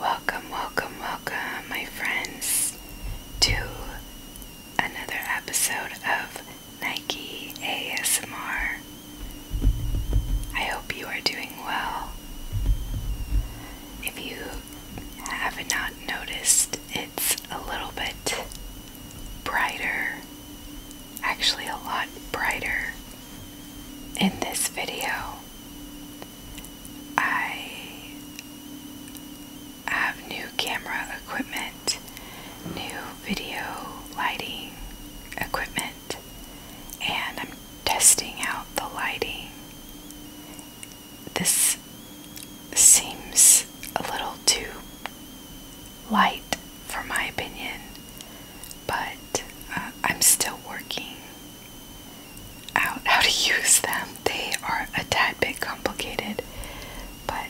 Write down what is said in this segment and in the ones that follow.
Welcome, welcome, welcome, my friends, to another episode of Nike ASMR. I hope you are doing well. If you have not noticed, it's a little bit brighter, actually, a lot brighter in this video. I have new camera equipment, new video lighting equipment, and I'm testing out the lighting. This seems a little too light for my opinion, but uh, I'm still working out how to use them. They are a tad bit complicated, but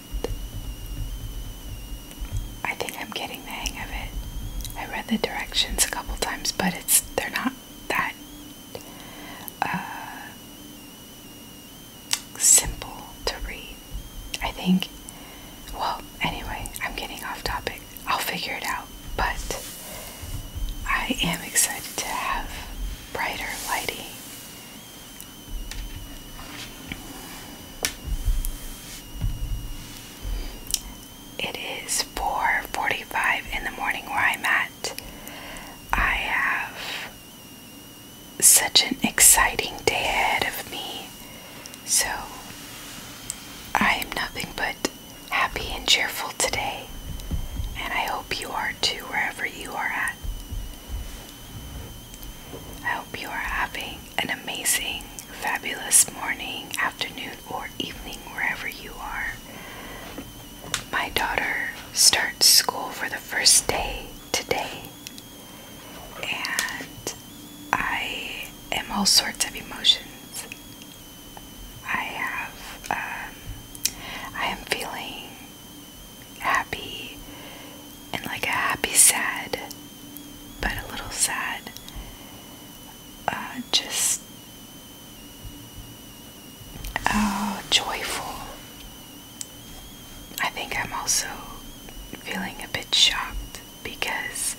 I think I'm getting the hang of it. I read the directions a couple times, but it's they're not that uh, simple to read. I think. Well, anyway, I'm getting off topic. I'll figure it out. But I am excited to have brighter lighting. It is 4:45 in the morning where I'm at. I have such an exciting day ahead of me. So I am nothing but happy and cheerful today, and I hope you are too, wherever you are at. I hope you are having an amazing, fabulous morning, afternoon, or evening, wherever you are. My daughter starts school for the first day today, and I am all sorts of emotions. I have, um, I am feeling happy and like a happy sad, but a little sad. Uh, just, oh, joyful. I think I'm also feeling a bit shocked because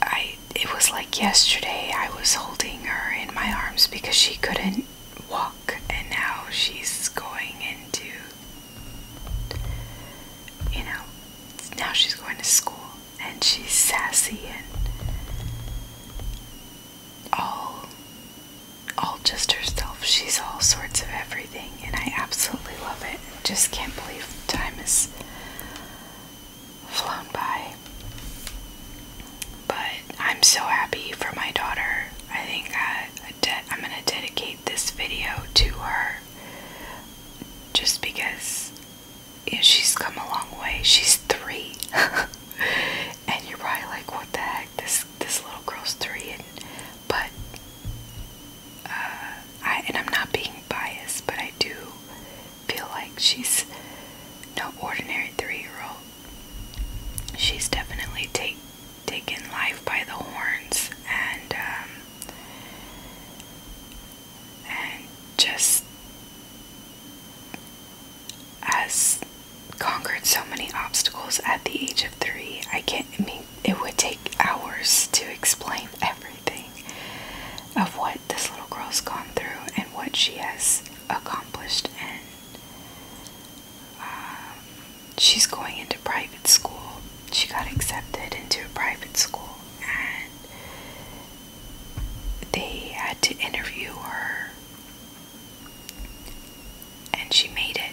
I it was like yesterday I was holding her in my arms because she couldn't walk and now she's going into you know now she's going to school and she's sassy and all all just herself she's all sorts of everything and I absolutely love it just can't believe time is flown by. But I'm so happy for my daughter. I think I, I'm going to dedicate this video to her just because she's come a long way. She's three. and you're probably like, what the heck? This, this little girl's three. but uh, I, and I'm not being biased, but I do feel like she's no ordinary three-year-old. She's definitely take, taken life by the horns and um, and just has conquered so many obstacles at the age of three. I can't. mean, it would take hours to explain everything of what this little girl's gone through and what she has accomplished. And um, she's going into private school. She got accepted into a private school, and they had to interview her, and she made it.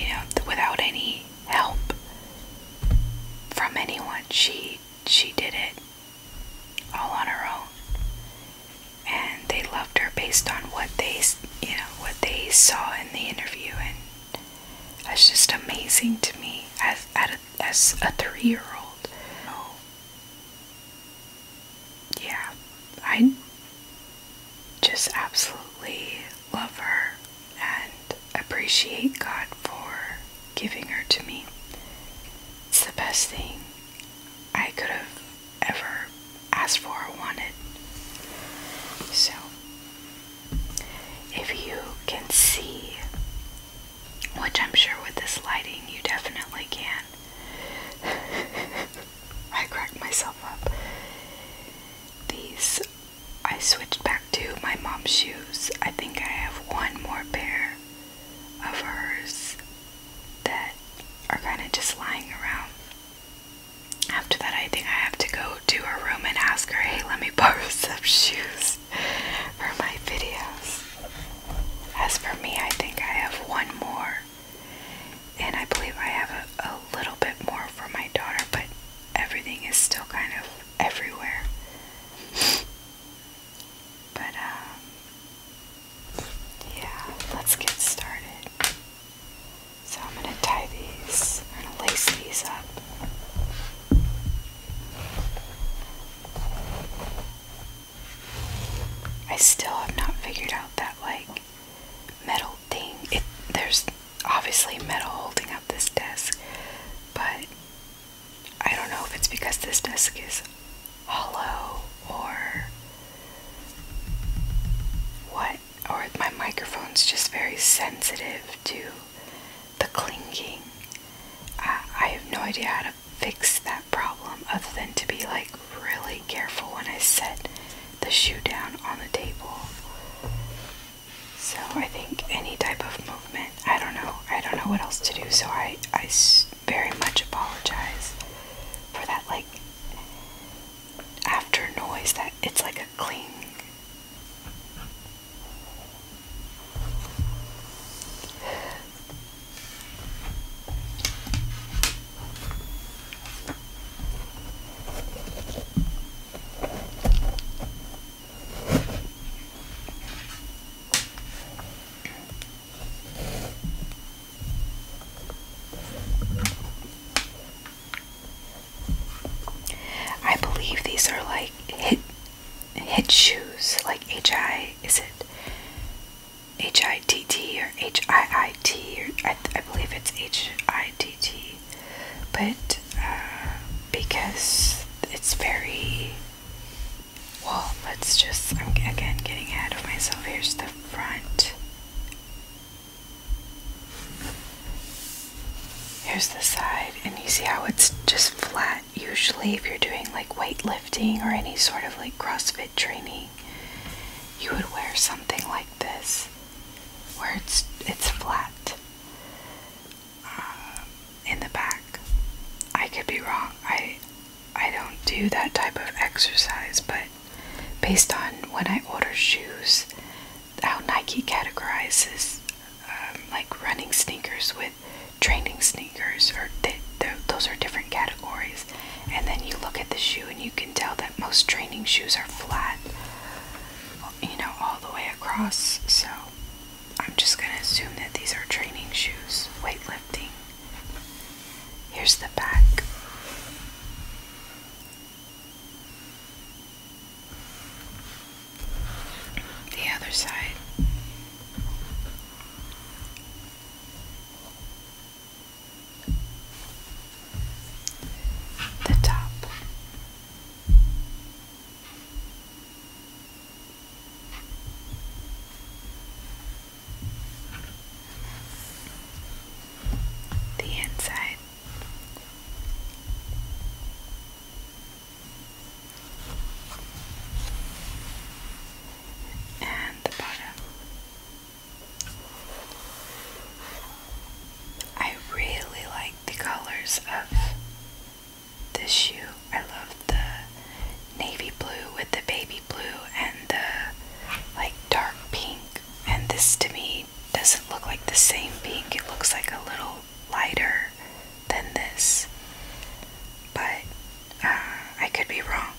You know, without any help from anyone, she she did it all on her own and they loved her based on what they you know what they saw in the interview and that's just amazing to me as a, as a 3-year-old oh. yeah i just absolutely love her and appreciate god for giving her to me. It's the best thing I could have ever asked for or wanted. So, if you can see, which I'm sure with this lighting you definitely can, I cracked myself up. These I switched back to my mom's shoes. I think I have one more pair of hers that are kind of just lying around. After that, I think I have to go to her room and ask her, hey, let me borrow some shoes for my videos. As for me, I think I have one more. And I believe I have a, a little bit more for my daughter, but everything is still kind of everywhere. But, um, yeah, let's get started. So I'm going to tie these, I'm going to lace these up. I still have not figured out that, like, metal thing. It, there's obviously metal holding up this desk, but I don't know if it's because this desk is hollow or what, or my microphone's just very sensitive to the clinking. I have no idea how to fix that problem other than to be like really careful when I set the shoe down on the table. So I think any type of movement I don't know. I don't know what else to do. So I, I very much apologize for that. Like after noise, that it's like a cling. I believe these are like hit hit shoes, like H I is it H I T T or H I I T or I, I believe it's H I T T, but uh, because it's very well, let's just, I'm again getting ahead of myself. Here's the front. Here's the side, and you see how it's just flat. Usually, if you're doing like weightlifting or any sort of like CrossFit training, you would wear something like this, where it's it's flat. Um, in the back, I could be wrong. I I don't do that type of exercise, but based on when I order shoes, how Nike categorizes um, like running sneakers with training sneakers, or those are different categories. And then you look at the shoe and you can tell that most training shoes are flat, you know, all the way across. So I'm just going to assume that these are training shoes, weightlifting. Here's the back. The other side. The top. The inside. And the bottom. I really like the colors of this shoe. I love the navy blue with the baby blue and the like dark pink. And this to me doesn't look like the same pink, it looks like a little lighter than this. But uh, I could be wrong.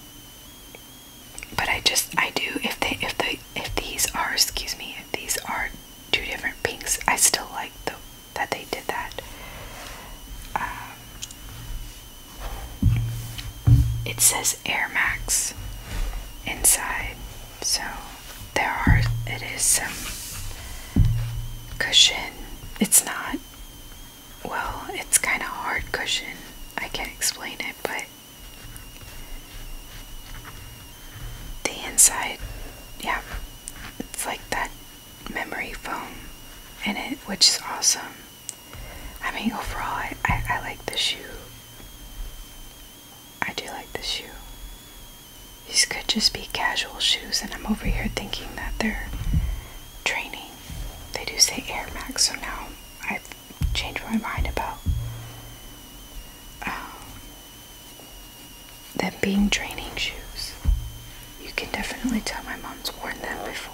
But I just I do if they if they if these are excuse me if these are two different pinks I still like the that they did that. Um, it says Air Max inside, so there are it is some cushion. It's not well, it's kind of hard cushion. I can't explain it, but the inside, yeah, it's like that memory foam in it, which is awesome. I mean, overall, I, I, like the shoe. I do like the shoe. These could just be casual shoes, and I'm over here thinking that they're training. They do say Air Max, so now I've changed my mind about um, them being training shoes. You can definitely tell my mom's worn them before.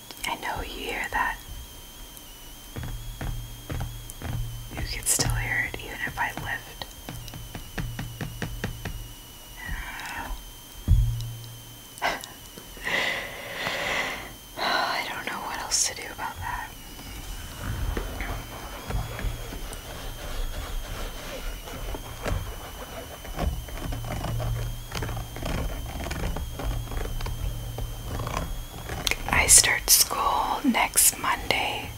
I know you hear that. You can still hear it even if I lift. I don't know what else to do about that. I start school next Monday.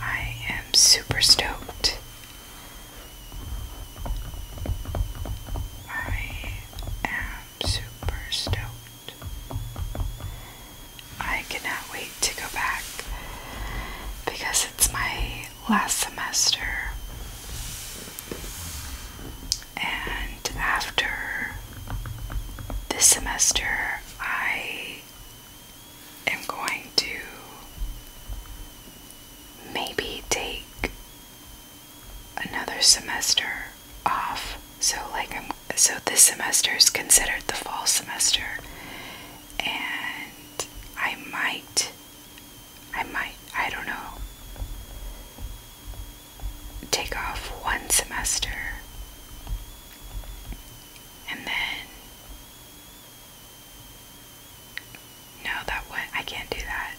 I am super stoked. I am super stoked. I cannot wait to go back because it's my last semester, and after this semester, I am going to maybe take another semester off. So, like, I'm so this semester is considered the fall semester, and I might I might, I don't know, take off one semester and then. No, that one, I can't do that.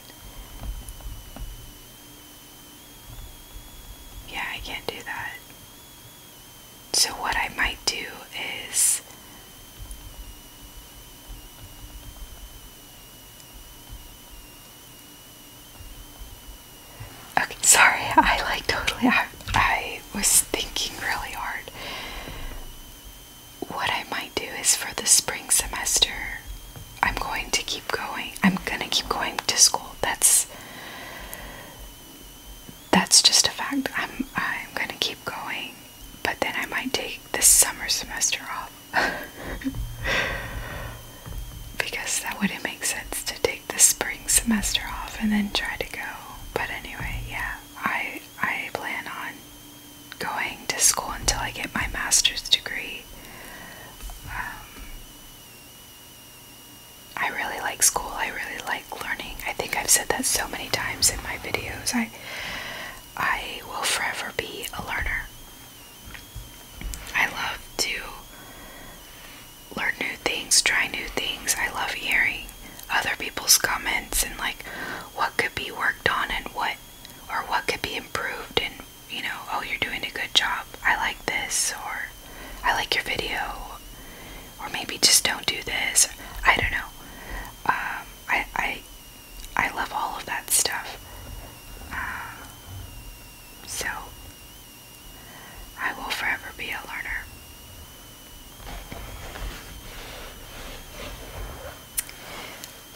Yeah, I can't do that. So, what I might do is Okay, sorry, I like totally, I, I was thinking really hard. What I might do is for the spring semester, I'm going to keep going. I'm gonna keep going to school. That's that's just a fact. I'm I'm gonna keep going, but then I might take the summer semester off because that wouldn't make sense to take the spring semester off and then try to go. But anyway, yeah, I I plan on going to school until I get my master's degree. Um, I really like school. I really like learning. I think I've said that so many times in my videos. I I will forever be a learner. I love to learn new things, try new things. I love hearing other people's comments and like what could be worked on and what or what could be improved and you know, oh, you're doing a good job. I like this or I like your video or maybe just don't do this. I don't know. Um, I I I love all of that stuff. Um, so, I will forever be a learner.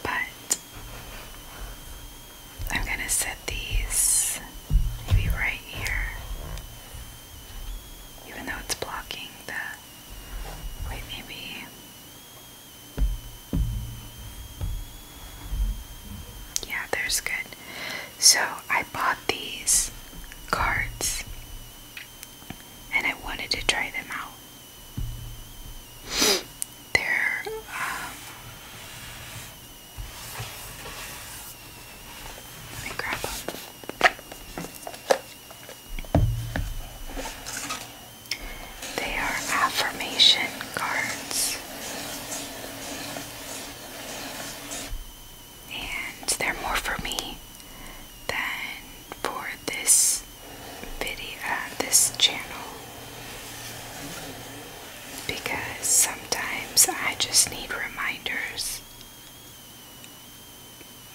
But I'm going to set these maybe right here, even though it's blocking the. maybe. Yeah, there's good. So I bought these cards and I wanted to try them out. They're, um, let me grab them. They are affirmation cards. And they're more for me than for this video, uh, this channel. Because sometimes I just need reminders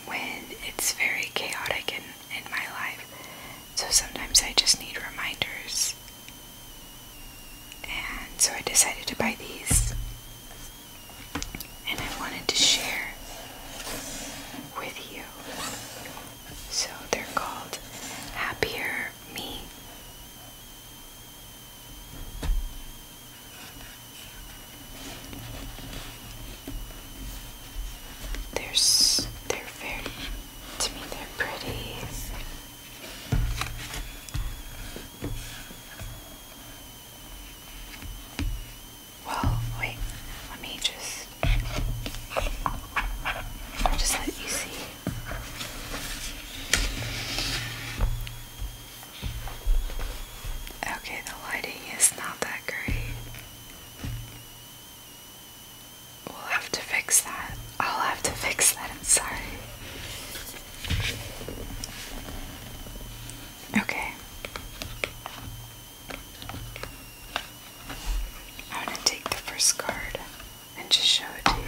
when it's very chaotic in, in my life so sometimes I just need reminders. And so I decided to buy these. And I wanted to share with you. So they're called Happier Me. There's, they're very to me, they're pretty. Well, wait, let me just. just let you see. Okay, the lighting is not that great. We'll have to fix that. I'll have to fix that, I'm sorry. Okay. I'm gonna take the first card and just show it to you.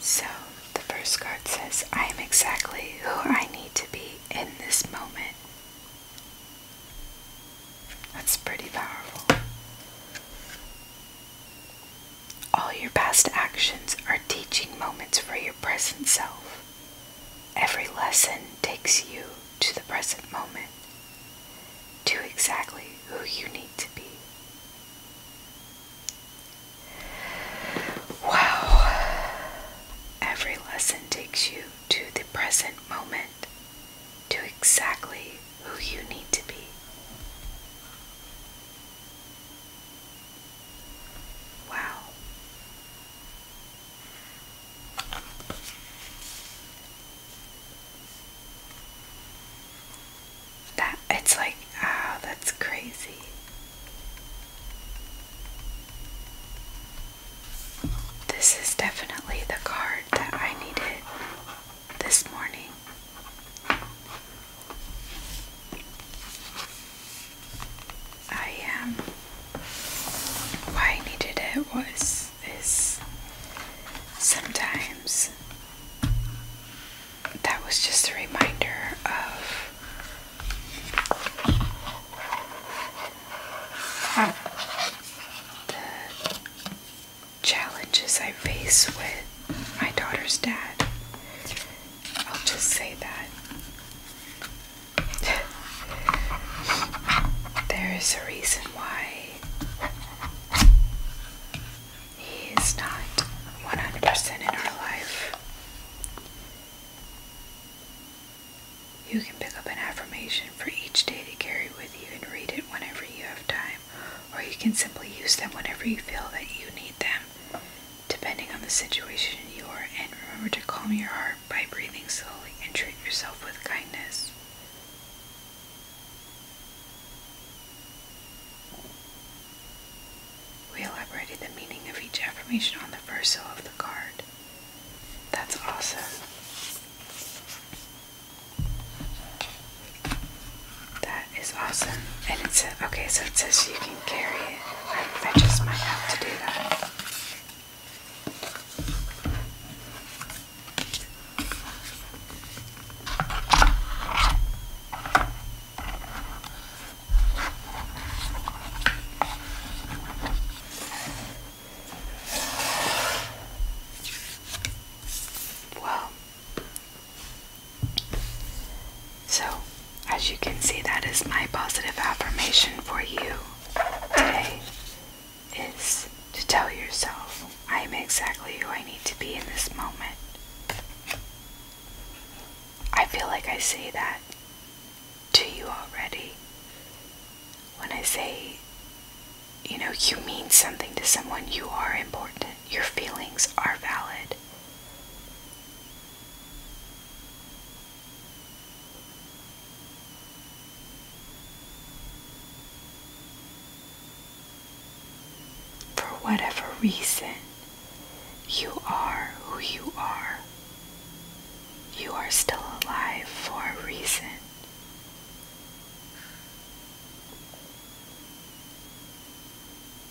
So the first card says, I am exactly who I need to be in this moment. That's pretty powerful. All your past actions are teaching moments for your present self. Every lesson takes you to the present moment, to exactly who you need to be. Wow. Every lesson takes you to the present moment, to exactly who you need to be. Wow. That it's like, ah, that's crazy. This is definitely the card that I needed this morning. I am. Um, why I needed it was is sometimes that was just a reminder of the challenges I face with my daughter's dad. I'll just say that. there is a reason why he is not 100% in our life. You can pick up an affirmation for each day to carry with you and read it whenever you have time, or you can simply use them whenever you feel that you need them, depending on the situation you are in. Remember to calm your heart by breathing slowly and treat yourself with kindness. We elaborated the meaning of each affirmation on the verso of the card. That's awesome. That is awesome. And it says, okay, so it says you can carry it. I just might have to do that. Well, so as you can see, that is my positive affirmation for you today is to tell yourself, I am exactly who I need to be in this moment. I feel like I say that to you already. When I say, you know, you mean something to someone, you are important, your feelings are valid. For whatever reason, you are who you are. You are still alive for a reason.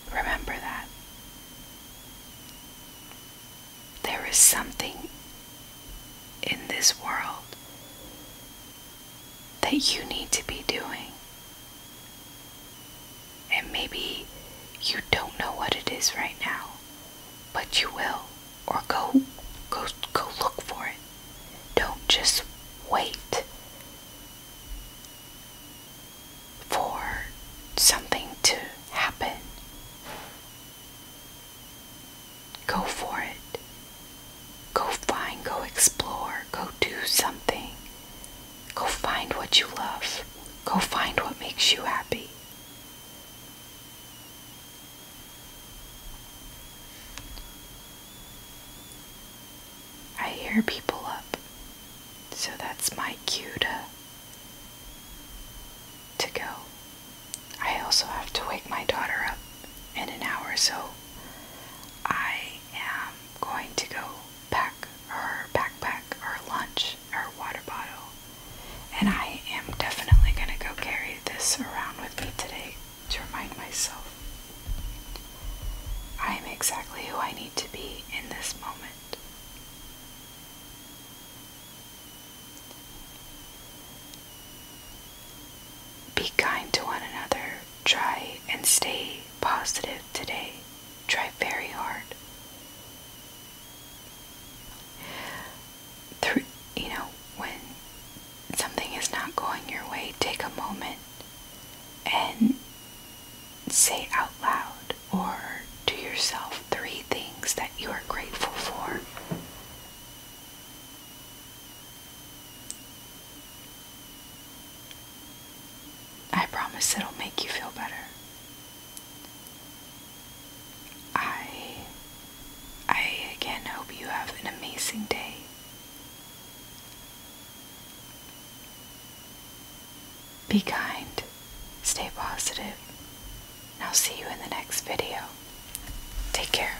Remember that. There is something in this world that you need to be doing. And maybe you don't know what it is right now, but you will. Or go go go look for it. Don't just wait for something to happen. Go for it. Go find, go explore, go do something. Go find what you love. Go find what makes you happy. I hear people up, so that's my cue to, to go. I also have to wake my daughter up in an hour, so I am going to go pack her backpack, her lunch, her water bottle, and I am definitely going to go carry this around with me today to remind myself I am exactly who I need to be in this moment. Be kind to one another. Try and stay positive today. Try very hard through you know when something is not going your way take a moment and say out loud or to yourself three things that you are grateful for I promise it'll make you feel better. I I again hope you have an amazing day. Be kind, stay positive, and I'll see you in the next video. Take care.